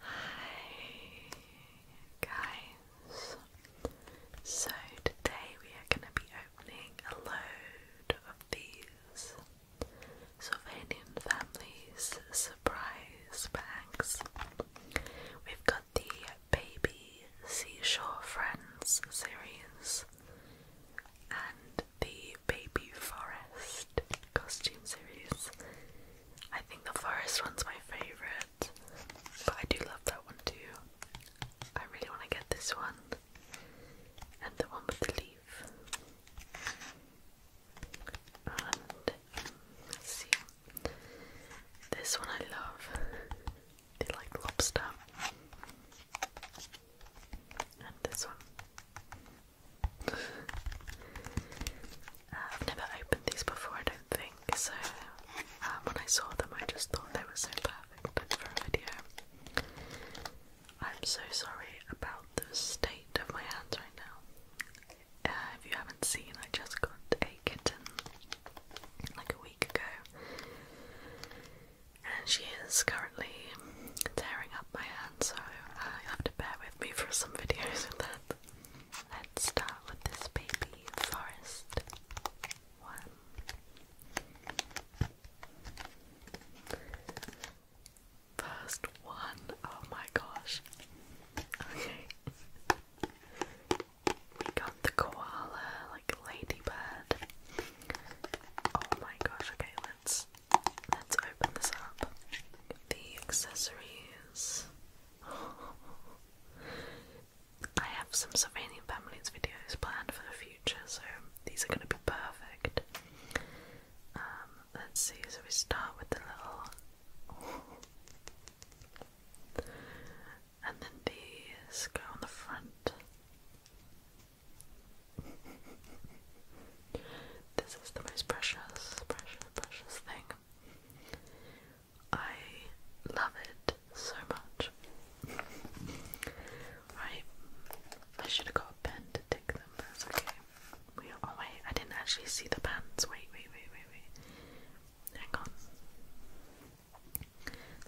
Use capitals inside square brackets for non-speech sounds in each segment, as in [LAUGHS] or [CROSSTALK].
Hi guys. So today we are going to be opening a load of these Sylvanian Families surprise bags. We've got the Baby Seashore Friends series and the Baby Forest costume series. I think the forest one's my favorite, but I do love that one too. I really want to get this one and the one with the leaf. And um, see, this one I love. They like lobster, and this one. I've never opened these before, I don't think, so um, when I saw them, I just thought they were so perfect for a video. I'm so sorry about the state of my hands right now. Uh, if you haven't seen, I just got a kitten like a week ago, and she is currently tearing up my hands. so I uh, have to bear with me for some [LAUGHS] videos of that. Let's start with this baby forest one. First oh my gosh. Okay. we got the koala, like ladybird. Oh my gosh, okay, let's open this up. The accessories. [LAUGHS] I have some Slovenian families videos planned for the future, so these are going to be perfect. Um, let's see. So we start with the little, and then these go on the front. This is the most precious, precious, precious thing. I love it so much. right. I should have got a pen to tick them, but that's okay. We are, oh wait, I didn't actually see the pens. Wait, wait, wait, wait, wait. Hang on.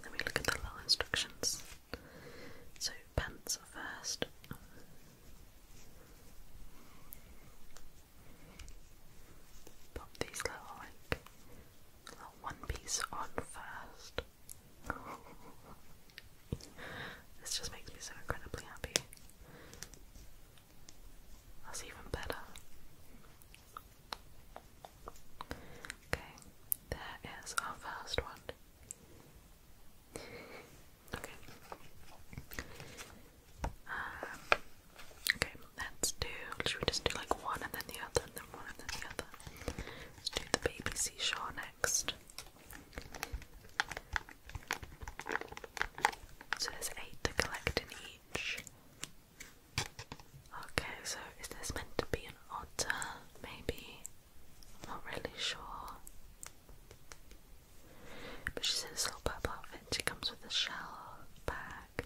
Let me look at the little instructions. So pants first. Pop these little like little one piece on first. [LAUGHS] this just makes me so incredibly happy. That's even better. Okay, there is our first one. Okay. Um, okay, let's do. Should we just do like one and then the other, and then one and then the other? Let's do the baby seashore next. So there's eight to collect in each. Okay, so is this meant to be an otter? Maybe. not really sure. But she's in this little purple outfit. She comes with a shell bag.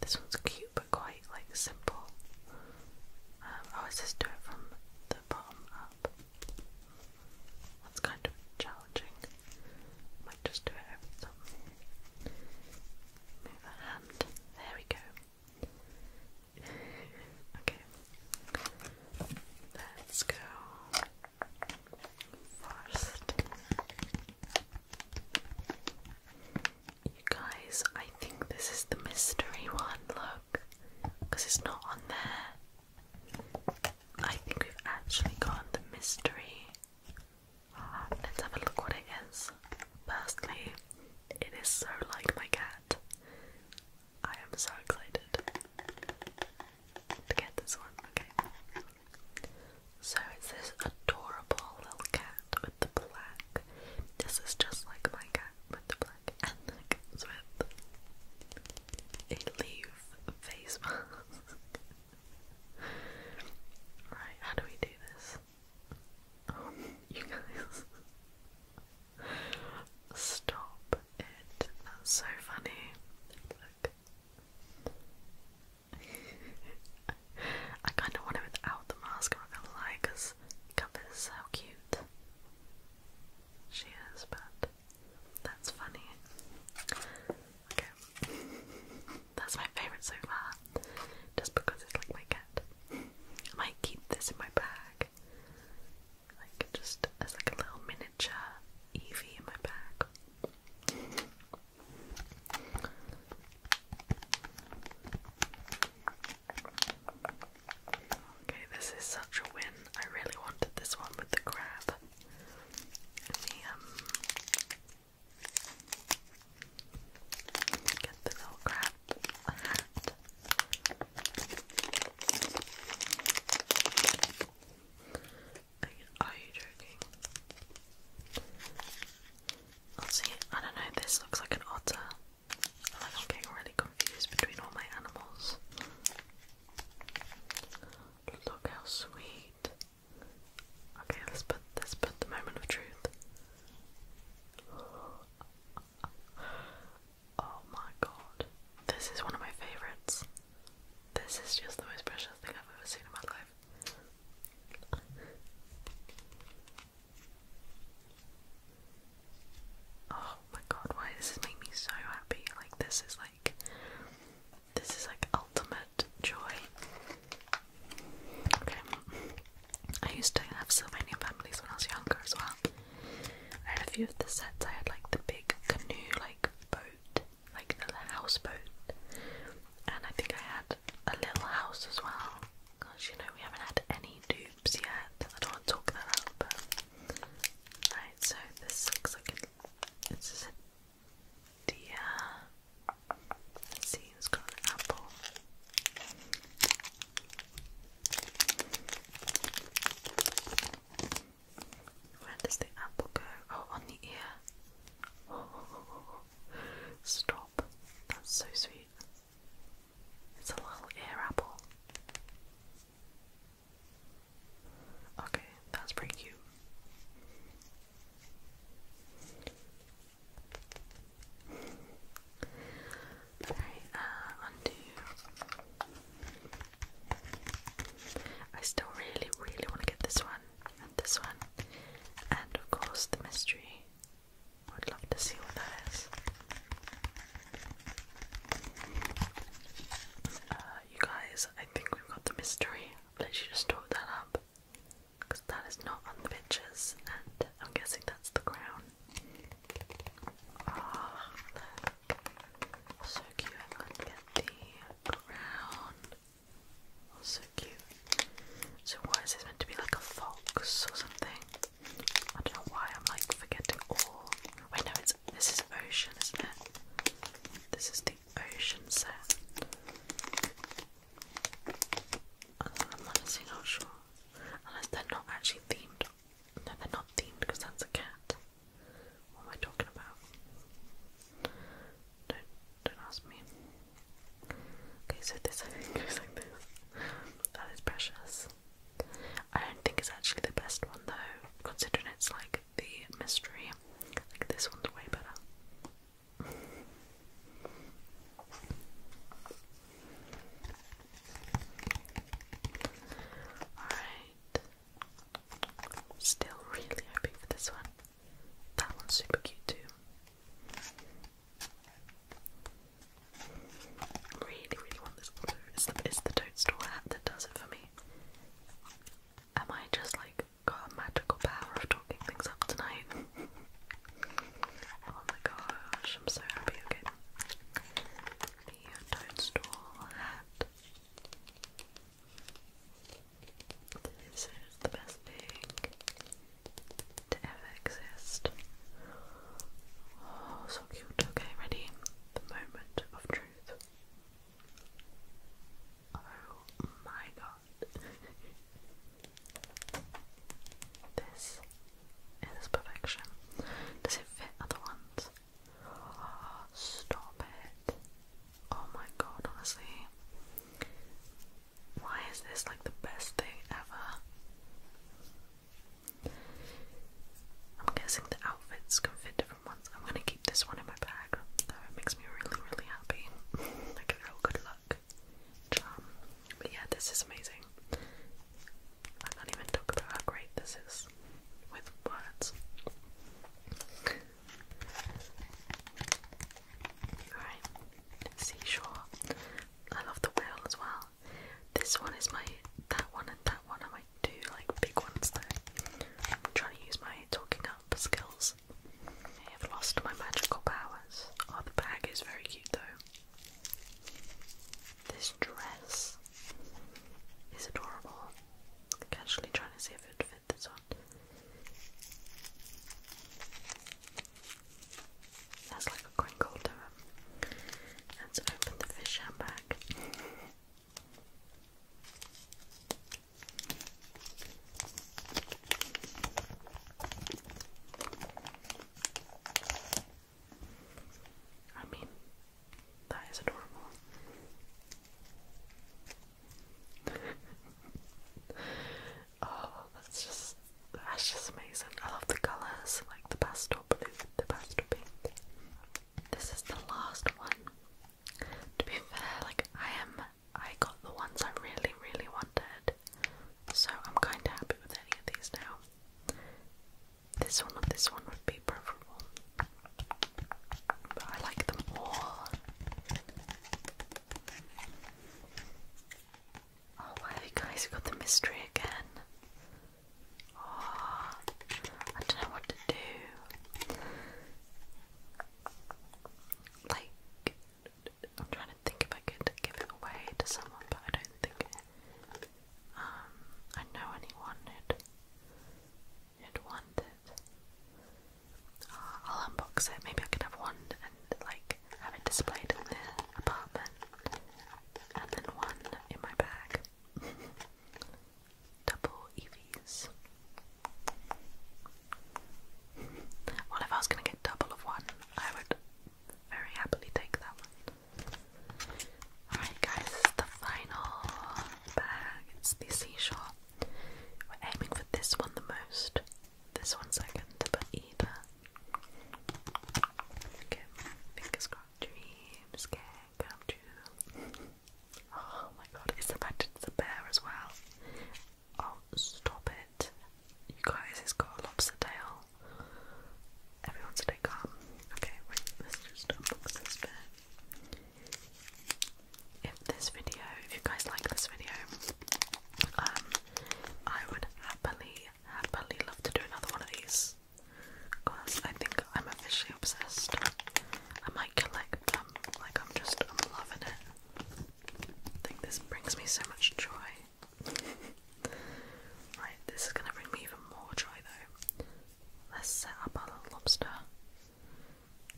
This one's cute but quite like simple. Um, oh, I always just do it from the bottom up. That's kind of challenging. might just do it over top. Move a hand. There we go. [LAUGHS] okay. Let's go first. You guys, I think this is the mystery one, look, because it's not on there. I think we've actually got the mystery. Ah, let's have a look what it is. Personally, it is so like my cat. I am so excited to get this one. Okay. So it's this adorable little cat with the black. This is just like my cat with the black, and with a leaf face mask. [LAUGHS] right, how do we do this? [LAUGHS] you guys. Stop it. That's so funny. [LAUGHS] I kind of want without the mask, I'm not gonna lie, because how cute she is, but that's funny. Okay. [LAUGHS] that's my favourite so far, just because it's like my cat. I might keep this in my bag like just as like a little miniature Eevee in my bag. Okay, this is such a win. I really wanted this one with the crab and the um get the little crab are you joking? let see, I don't know, this looks like an otter. I'm getting really confused between all my animals. Look how sweet. Okay, let's put let's put the moment of truth oh my god. This is one of my favourites. This is just the most precious thing I've ever seen in my life. Oh my god, why this is making me so happy. Like this is like this is like ultimate joy. Okay. I used to have so many families when I was younger as well. I had a few of the sets. I had like the big canoe, like boat, like the houseboat, and I think I had a little house as well. Cause you know we haven't had any dupes yet. I don't want to talk that up. But... so this looks like a, it's just a see, it's got an apple. Where does the apple go? Oh, on the ear. [LAUGHS] Stop. That's so sweet. It's a little ear apple. Okay, that's pretty cute. Sorry, uh, undo. I still really, really want to get this one, and this one, and of course the mystery. I would love to see what that is. you guys, I think we've got the mystery. I've just talked that up that is not on the pictures, and I'm guessing that's the crown. Oh, So cute. I'm the crown. Oh, so cute. So, what is this meant to be like a fox or something? I don't know why I'm like forgetting all. Wait, no, it's this is ocean, isn't it? This is the ocean set. Uh, I'm honestly not sure. Unless they're not actually themed no, they're not themed because that's a cat. What am I talking about? Don't, don't ask me. Okay, so this I [LAUGHS] think like this. That is precious. I don't think it's actually the best one though, considering it's like the mystery. Like this one's way better. Alright. Still really hoping for this one. That one's super cute too. Really, really want this one. It's the, it's the toadstool hat that does it for me. Am I just like got a magical power of talking things up tonight? [LAUGHS] oh my gosh, I'm so happy. Okay be a hat. This is the best thing to ever exist. Oh, so cute. Okay, ready? The moment of truth. Oh my god. [LAUGHS] this it is perfection. Does it fit other ones? Ah, stop it. Oh my god, honestly. Why is this like the best thing ever? I'm guessing the outfits can fit different ones. I'm gonna keep this one in my bag It makes me really, really happy. [LAUGHS] like a real good luck charm. But yeah, this is amazing. I can't even talk about how great this is with words. Alright, seashore. I love the whale as well. This one is my that one and that one are my two like big ones though. I'm trying to use my talking up skills. I have lost my magical powers. Oh the bag is very cute though. This dress is adorable. i trying to see if it would fit this one. That's like a crinkle to Let's open the fish handbag. I mean, that is adorable. [LAUGHS] oh, that's just that's just amazing. I love the colours, like the pastel blue, the pastel pink. This is the last one. To be fair, like I am I got the ones I really, really wanted. So I'm kinda happy with any of these now. This one or this one would be preferable. But I like them all. Oh wow you guys got the mystery again. Oh I don't know what to do. Like I'm trying to think if I could give it away to someone, but I don't think um, I know anyone who'd, who'd want it. Uh, I'll unbox it, maybe I could have one and like have it displayed in the apartment and then one in my bag. [LAUGHS] Double EVs. Well, if I was going to get double of one, I would very happily take that one. Alright guys, this the final bag. It's the seashell. We're aiming for this one the most. This one second, but either. fingers crossed, dreams can come Oh my god, it's the fact it's a bear as well. Oh, stop it. You guys, it's got a lobster tail. Everyone's stay calm. Okay, let's just unbox this bit. If this video, if you guys like this video, um, I would happily, happily love to do another one of these. Because I think I'm officially obsessed. I might collect like I'm just, I'm loving it. I think this brings me so much joy. [LAUGHS] right, this is gonna bring me even more joy though. Let's set up our little lobster.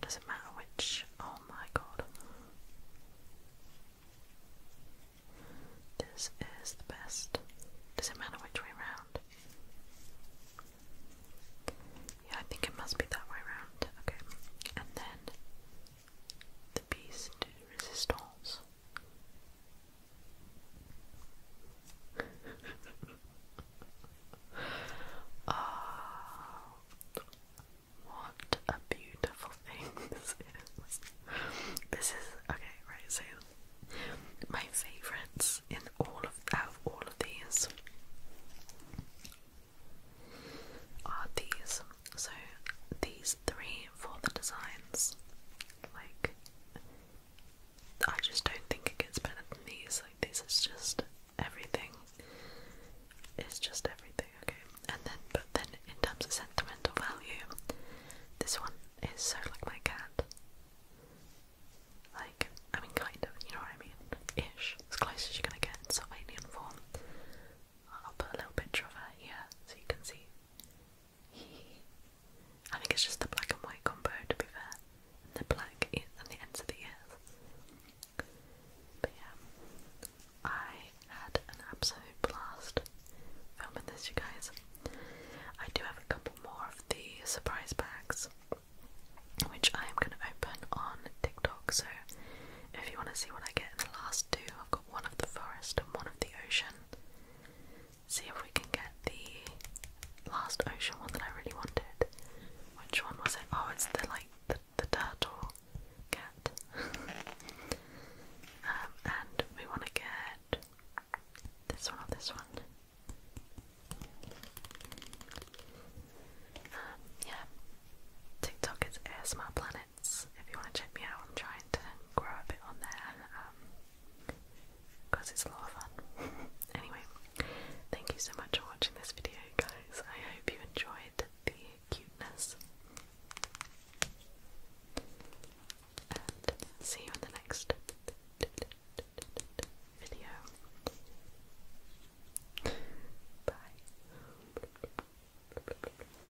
Doesn't matter which. Oh my god. This is the best. Does it matter which way round? Yeah, I think it must be that way round. Okay. And then the piece resistance. [LAUGHS] oh, what a beautiful thing [LAUGHS] this is. okay, right? So, my favorites in all of out of all of these are these. So, these three for the designs. Like, I just don't think it gets better than these. Like, this is just everything. It's just everything, okay? And then, but then in terms of sentimental value, this one is so like my cat. Like, I mean, kind of, you know what I mean? Ish. As close as you're gonna get in Sylvanian form. I'll put a little picture of her here so you can see. [LAUGHS] I think it's just the black and white combo to be fair. And the black and the ends of the ears. But yeah, I had an absolute blast filming this, you guys. I do have a couple more of the surprise bags, which I am going to open on TikTok. So if you want to see what I get in the last two, I've got one of the forest and one of the ocean. See if we can get the last ocean one that I really wanted. Which one was it? Oh, it's the like the, turtle cat. [LAUGHS] Um, and we want to get this one or this one. Um, yeah. TikTok is ASMR Planet if you want to check me out. I'm trying to grow a bit on there because um, it's a lot of fun. [LAUGHS] anyway, thank you so much for watching this video, guys. I hope you enjoyed the cuteness. And see you in the next video. Bye.